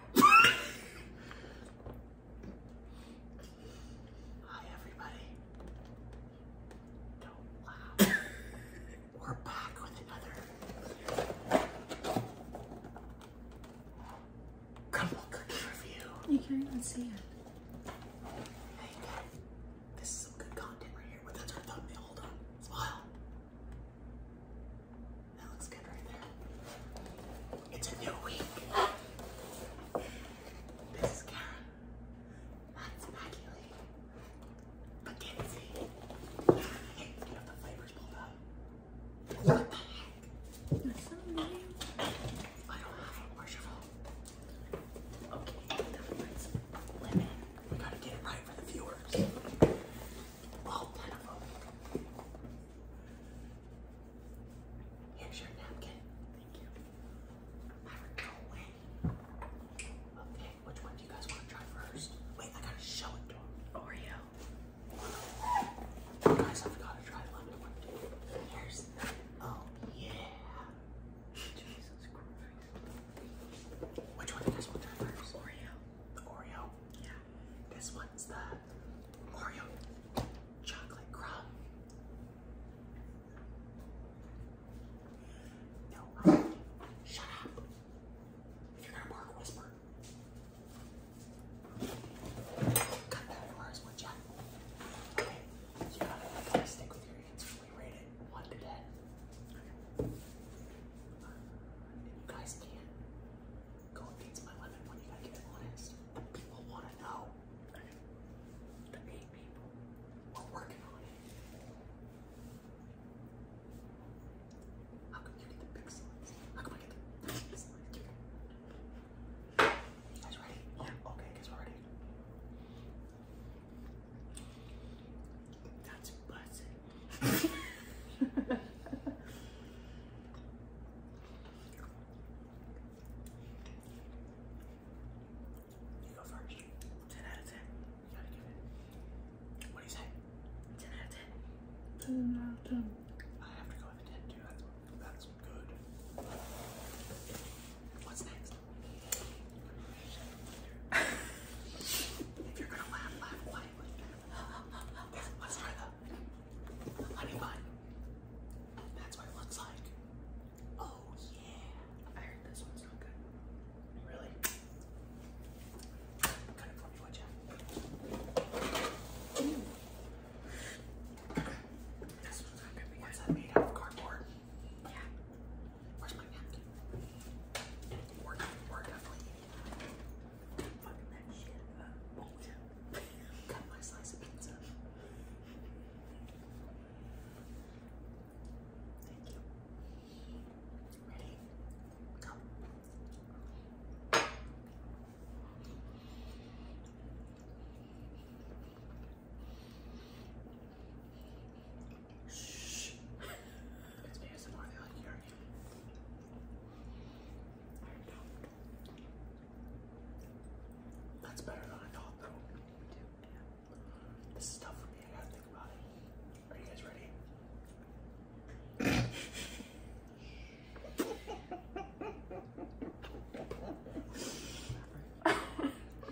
Hi, everybody. Don't laugh. We're back with another crumble review. You can't even see it. Hey, this is some good content right here. But that's our thumbnail. Hold that looks good right there. It's a new week. This is Kara. That's Maggie Lee. Mackenzie. Hey, get the flavors pulled up. What the heck? I don't have it. Where's your Okay, that one's lemon. We gotta get it right for the viewers. Here's your napkin. Thank you. I go away. Okay, which one do you guys want to try first? Wait, I gotta show it to him. Oreo. You guys have gotta try lemon one too. Here's oh yeah. Which one do you guys want to try first? Oreo. Oreo. Yeah. This one's the Oreo chocolate crumb. No, i um, shut up. If you're gonna bark, whisper. Cut that for would ya? Okay, you gotta, stick with your answer. We rate it 1 to 10. And you guys can't go against my lemon when you gotta get honest. people wanna know. The eight people. We're working on it. How come you get the big How come I get the big guys ready? Yeah. Okay, guys, we're ready. That's buzzing. you go first. 10 out of 10. You gotta give it. What do you say? 10 out of 10. 10 out of 10. I have to go with 10 too. that's good. What's next? if you're gonna laugh, laugh quietly. let's try the honey bun. That's what it looks like. Oh yeah. I heard this one's not good. Really? This one's not good. What's that made out of cardboard? Yeah. Where's my napkin? fucking that shit up. Oh, my slice of pizza. Thank you. Ready? Go. Shh. That's better than I thought, though. This is tough for me, I gotta think about it. Are you guys ready?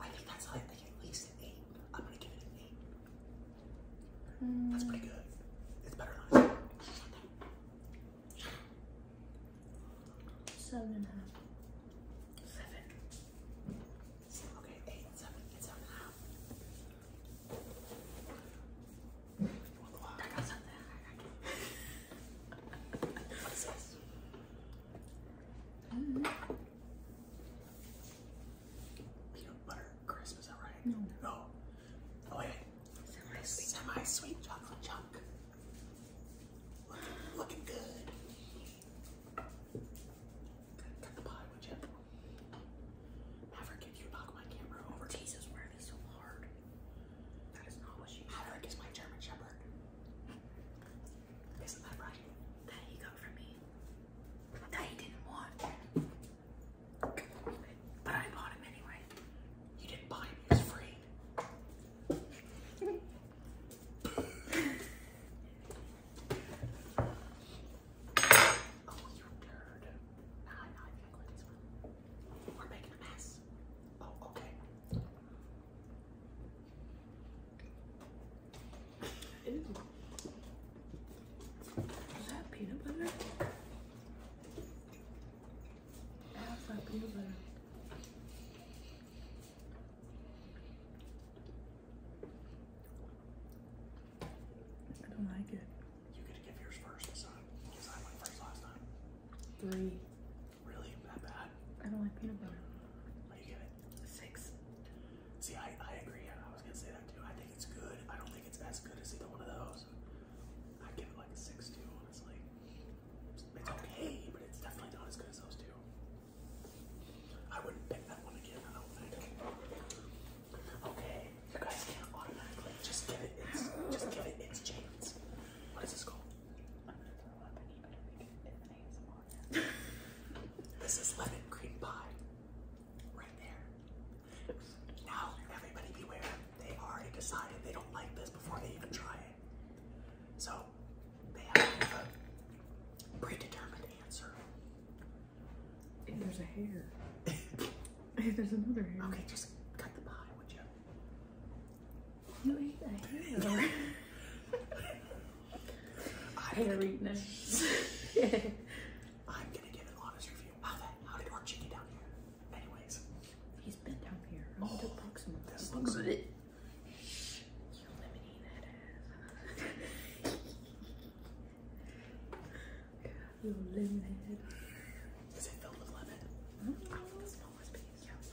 I think that's high. I think at least an eight. I'm gonna give it an eight. Hmm. That's pretty good. It's better than I Seven and a half. Seven. seven. Okay, eight, seven, and seven and a half. I got something. What's this? Mm-hmm butter crisp, is No. Oh, wait. Semi sweet, chocolate chunk. Looking, good. Cut the pie, would you? Have you knock my camera over. Jesus, why are they so hard? That is not what she Have her kiss my German Shepherd. Isn't that right? that he got from me that he didn't want. But I bought him anyway. You didn't buy him, he free. oh, you nerd. Nah, nah, I gotta go this We're making a mess. Oh, okay. Is that peanut butter? That's not peanut butter. I don't like it. You get to give yours first this I went first last time. Three. Really? That bad? I don't like peanut butter. What you give it? Six. See, I, I agree. I was going to say that too. I think it's good. I don't think it's as good as either one of those. I give it like a six too, honestly. It's okay, but it's definitely not as good as those two. I wouldn't pick that one again, I don't think. Okay, you guys can't automatically just give it its just give it its chance. What is this called? this is lemon cream pie. Right there. Now, everybody beware. They already decided they don't like this before they even try it. So, predetermined answer. there's a hair. there's another hair. Okay, just cut the pie, would you? You ate a hair. Hairiness. yeah. I'm gonna give an honest review. How did our chicken down here? Anyways, he's been down here. I'm oh, to poke some of this looks. Bit. You lemony that ass. you lemon head. Is it filled with lemon? Mm I want to smell piece.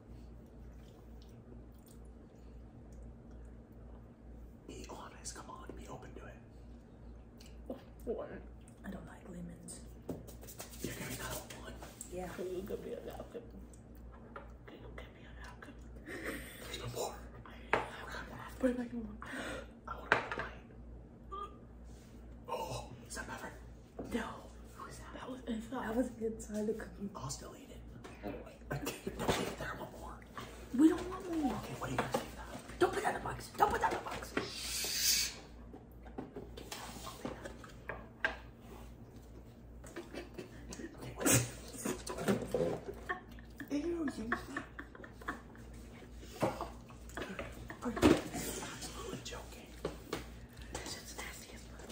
Be honest, come on, be open to it. One. I don't like lemons. You're giving that a one? Yeah. You You could be a napkin. There's no more. I, I want to one. I want to bite. Oh, is that Maverick? No. Who's that? That was inside. That was inside the cookie. I'll still eat it. Oh, it We don't want more. Don't put that in the box. Don't put that in the box. Shh.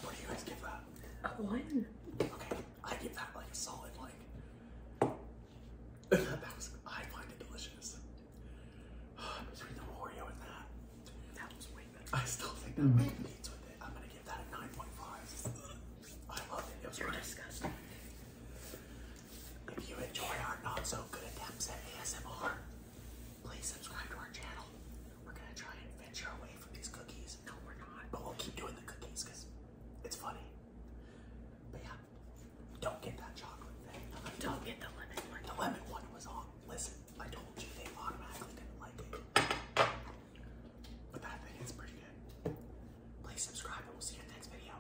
What do you guys give that? A one. Okay, I give that like solid like. that was I find it delicious. Between the Oreo and that, that was way better. I still think that mm. beats with it. I'm gonna give that a nine point five. I love it. It was you disgusting. If you enjoy our not so good attempts at ASMR please subscribe to our channel. We're gonna try and venture away from these cookies. No, we're not, but we'll keep doing the cookies because it's funny. But yeah, don't get that chocolate thing. Don't get the lemon The lemon one was on. Listen, I told you they automatically didn't like it. But that thing is pretty good. Please subscribe and we'll see you next video.